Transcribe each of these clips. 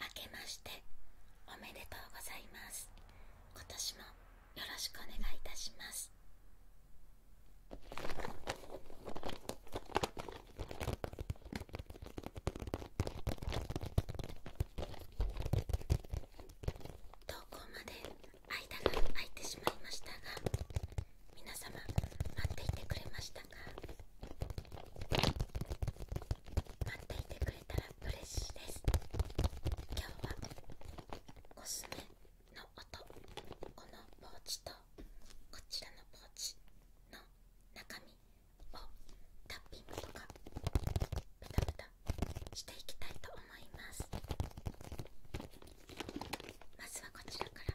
明けましておめでとうございます今年もよろしくお願いいたします投稿まで間が空いてしまいましたが皆様待っていてくれましたか待っていてくれたら嬉しいです今日はコスメの音このポーチとこちらのポーチの中身をタッピングとかブタブタしていきたいと思いますまずはこちらから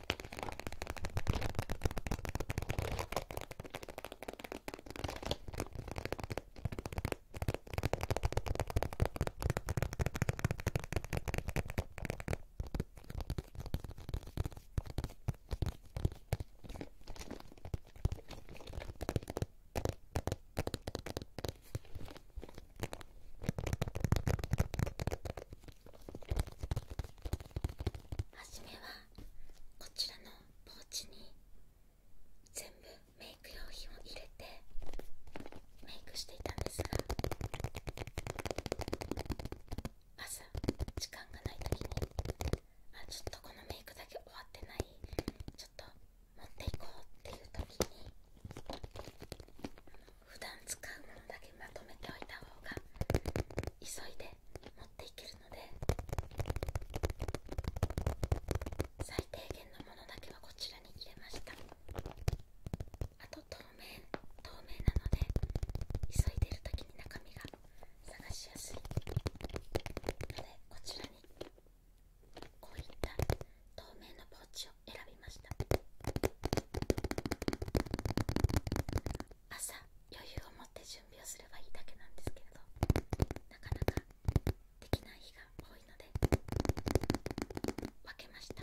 初めはこちらのポーチに全部メイク用品を入れてメイクしていたんですが朝時間がない時にあちょっとこのメイクだけ終わってないちょっと持っていこうっていう時に普段使うものだけまとめておいた方が急いで持ってるので最低限のものだけはこちらに入れましたあと透明透明なので急いでる時に中身が探しやすいのでこちらにこういった透明のポーチを選びました朝余裕を持って準備をすればいいだけなんですけれどなかなかできない日が多いので分けました。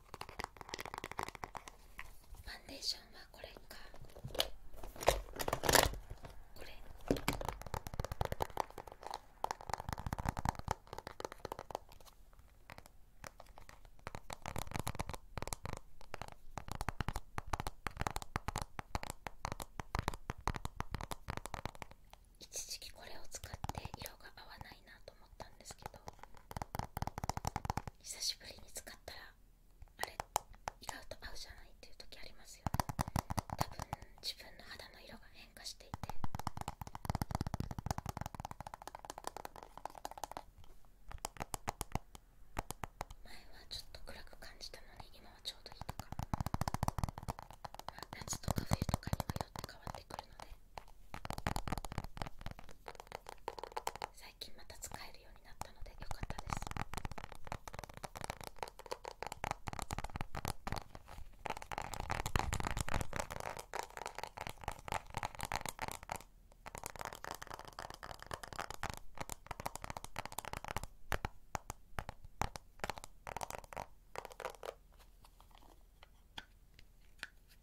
ファンデーションはこれかこれ一時期これを使って色が合わないなと思ったんですけど久しぶりに使ったらあれ意外と合うじゃないっていう時ありますよね多分自分の肌の色が変化していて前はちょっと暗く感じたのに今はちょうどいいとか、ま夏とか冬とかにはよって変わってくるので最近また使えるようになったのでよかったです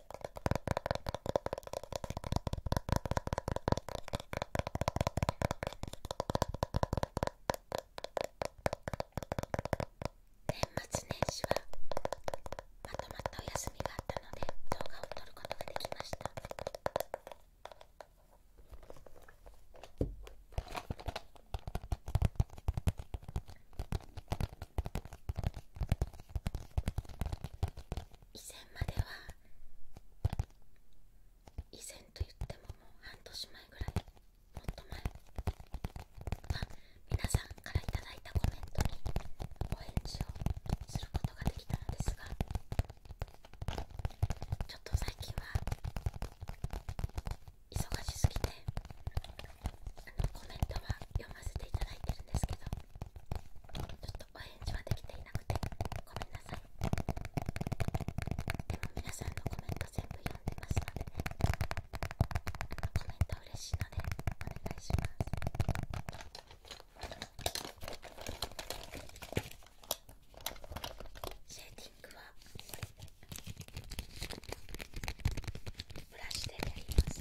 年末年始はまとまったお休みがあったので動画を撮ることができました以前までは以前と言ってももう半年前ぐらいもっと前は皆さんからいただいたコメントにお返事をすることができたのですがちょっと最近は忙しすぎてあのコメントは読ませていただいてるんですけどちょっととおはできていなくてごめんなさいでも皆さんのコメント全部読んでますのでコメント嬉しいのでお願いしますシェーティングはブラシでやります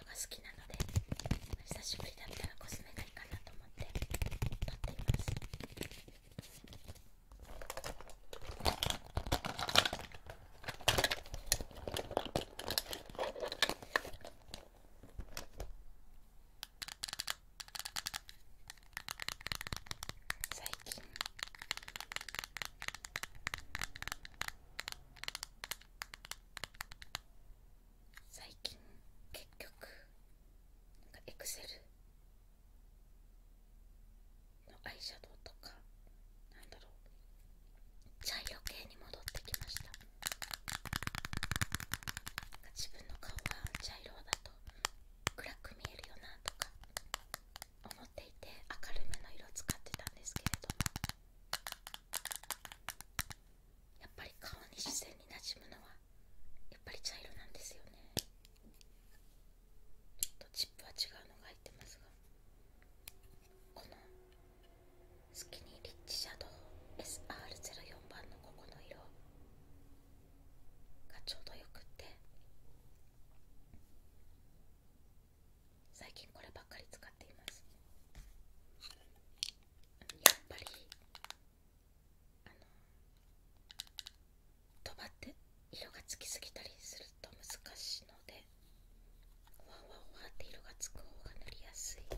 音が好きなので久しぶりだったらコスメがいいかなと思って撮っています最近最近結局エクセルのアイシャドウとかなんだろう茶色系に戻ってきました自分の顔は茶色だと暗く見えるよなとか思っていて明るめの色使ってたんですけれどやっぱり顔に自然になじむのはやっぱり茶色なんですよねちょっとチップは違うのが入ってますがこのスキニーリッチシャドウ SR04 番のここの色がちょうどよくって最近こればっかり使っていますやっぱりあのとばって色がつきすぎたりすると難しいのでワワンンワわって色がつく方が塗りやすいです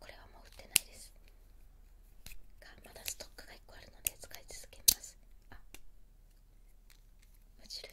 これはもう売ってないですがまだストックが1個あるので使い続けますあ無印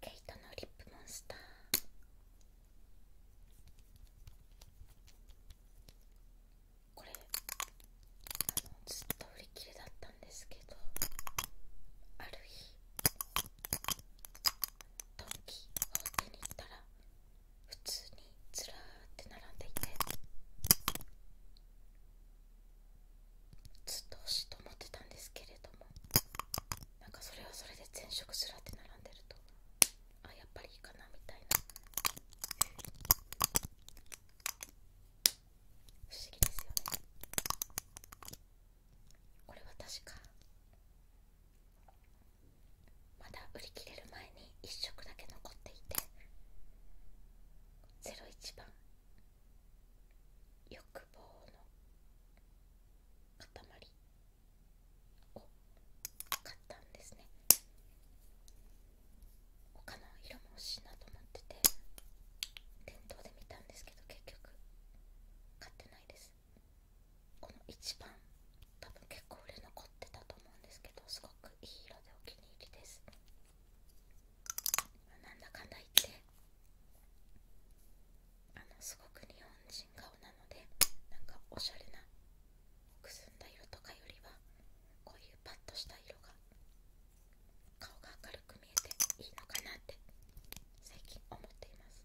ケイトのリップモンスターこれあのずっと売り切れだったんですけどある日ドン・キホーに行ったら普通にずらって並んでいてずっと欲しいと思ってたんですけれどもなんかそれはそれで前色ずらって並んでるとあやっぱりいいかなみたいな不思議ですよねこれは確かまだ売り切れる前に1色だけ残っていてゼ01番欲望の塊を買ったんですね他の色も欲しいなと思ってて店頭で見たんですけど結局買ってないですこの一番多分結構売れ残ってたと思うんですけどすごくいい色でお気に入りですなんだかんだ言ってあのすごく日本人顔なのでなんかおしゃれなくすんだ色とかよりはこういうパッとした色が顔が明るく見えていいのかなって最近思っています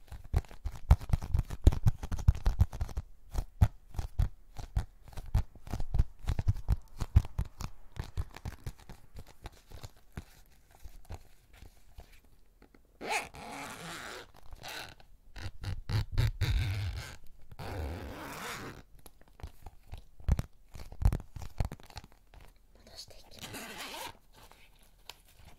戻していきます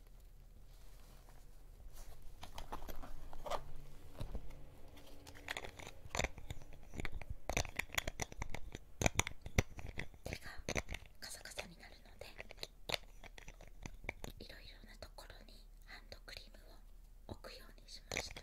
手がカサカサになるのでいろいろなところにハンドクリームを置くようにしました。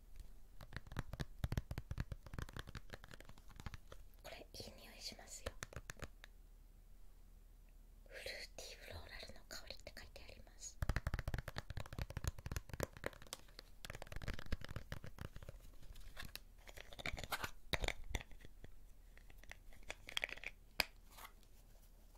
これいい匂いしますよフルーティーフローラルの香りって書いてあります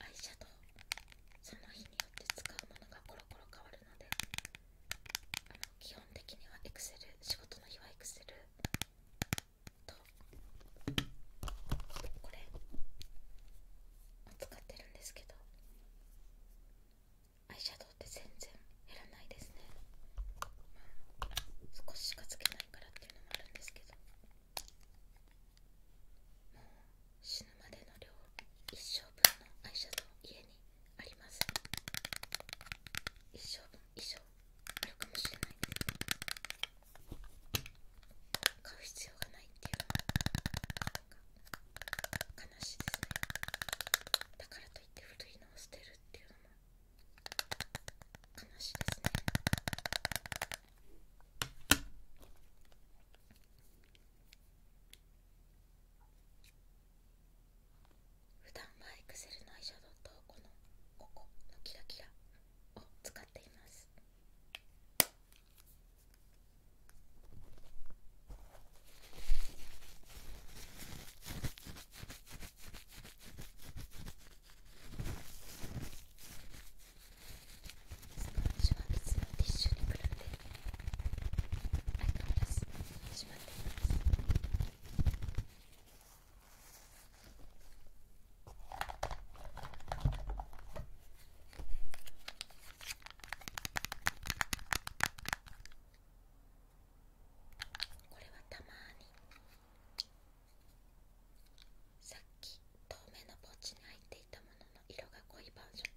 アイシャドウその日によって使うものがコロコロ変わるので基本的にはエクセル仕事の日はエクセルとこれを使ってるんですけどアイシャドウって全然減らないですね、まあ、少ししかつけないからっていうのもあるんですけどもう死ぬまでの量一生分のアイシャドウ家にあります一生分以上あるかもしれない買う必要がないっていうのは。なんか。悲しいですねだからといって古いのを捨てるっていうのも話ですね普段はエクセルのアイシャドウとこのここのキラキラを使っています水は水のティッシュに比べんで、あわらずしまっていますこれはたまにさっき透明のポーチに入っていたものの色が濃いバージョン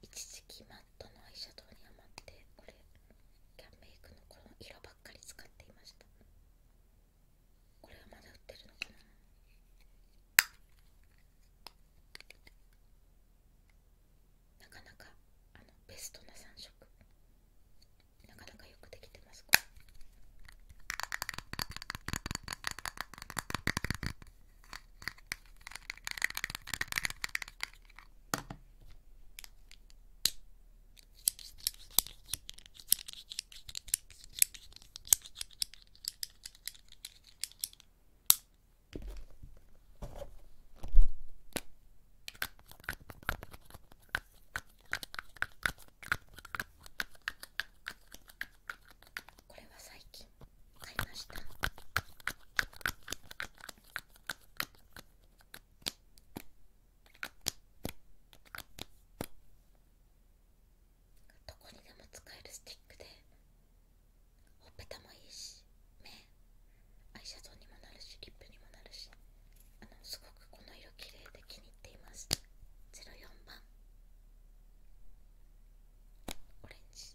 一時期マットのアイシャドウにハマって俺キャンメイクのこの色ばっかり使っていましたこれはまだ売ってるのかななかなかあのベストな3色なかなかよくできてますこれこれは最近買いましたどこにでも使えるスティックでほっぺたもいいし目アイシャドウにもなるしリップにもなるしあのすごくこの色綺麗で気に入っています04番オレンジ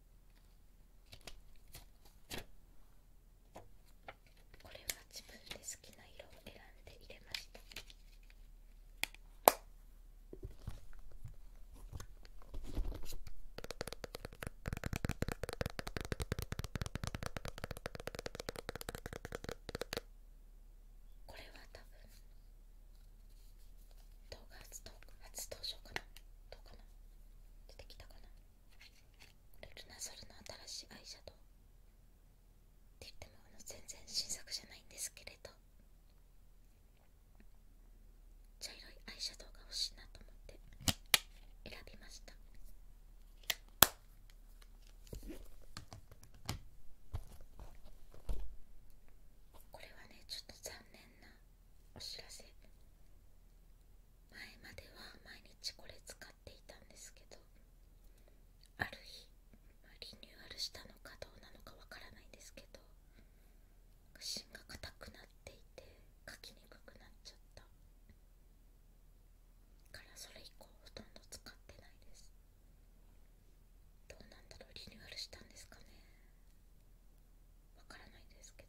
これは自分で好きな色を選んで入れましたこれは多分動画初初登場かなどうかな出てきたかなルナソルの新しいアイシャドウって言ってもあの全然新作じゃないんですけれど茶色いアイシャドウが欲しいなと思って選びましたこれはねちょっと残念なお知らせ前までは毎日これ使っていたんですけどある日、まリニューアルしたのかどうなのかわからないんですけど芯が硬くなっていて書きにくくなっちゃったからそれ以降ほとんど使ってないですどうなんだろうリニューアルしたんですかねわからないですけど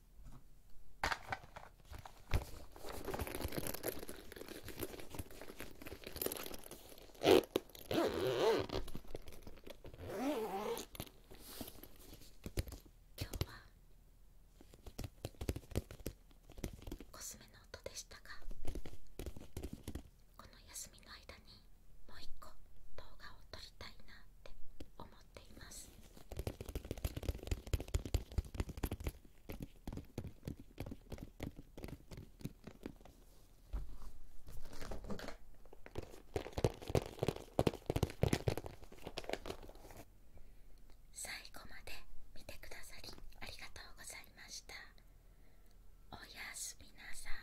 今日はコスメの音でしたがこの休みの間にもう一個動画を撮りたいなって思っています最後まで見てくださりありがとうございましたおやすみなさい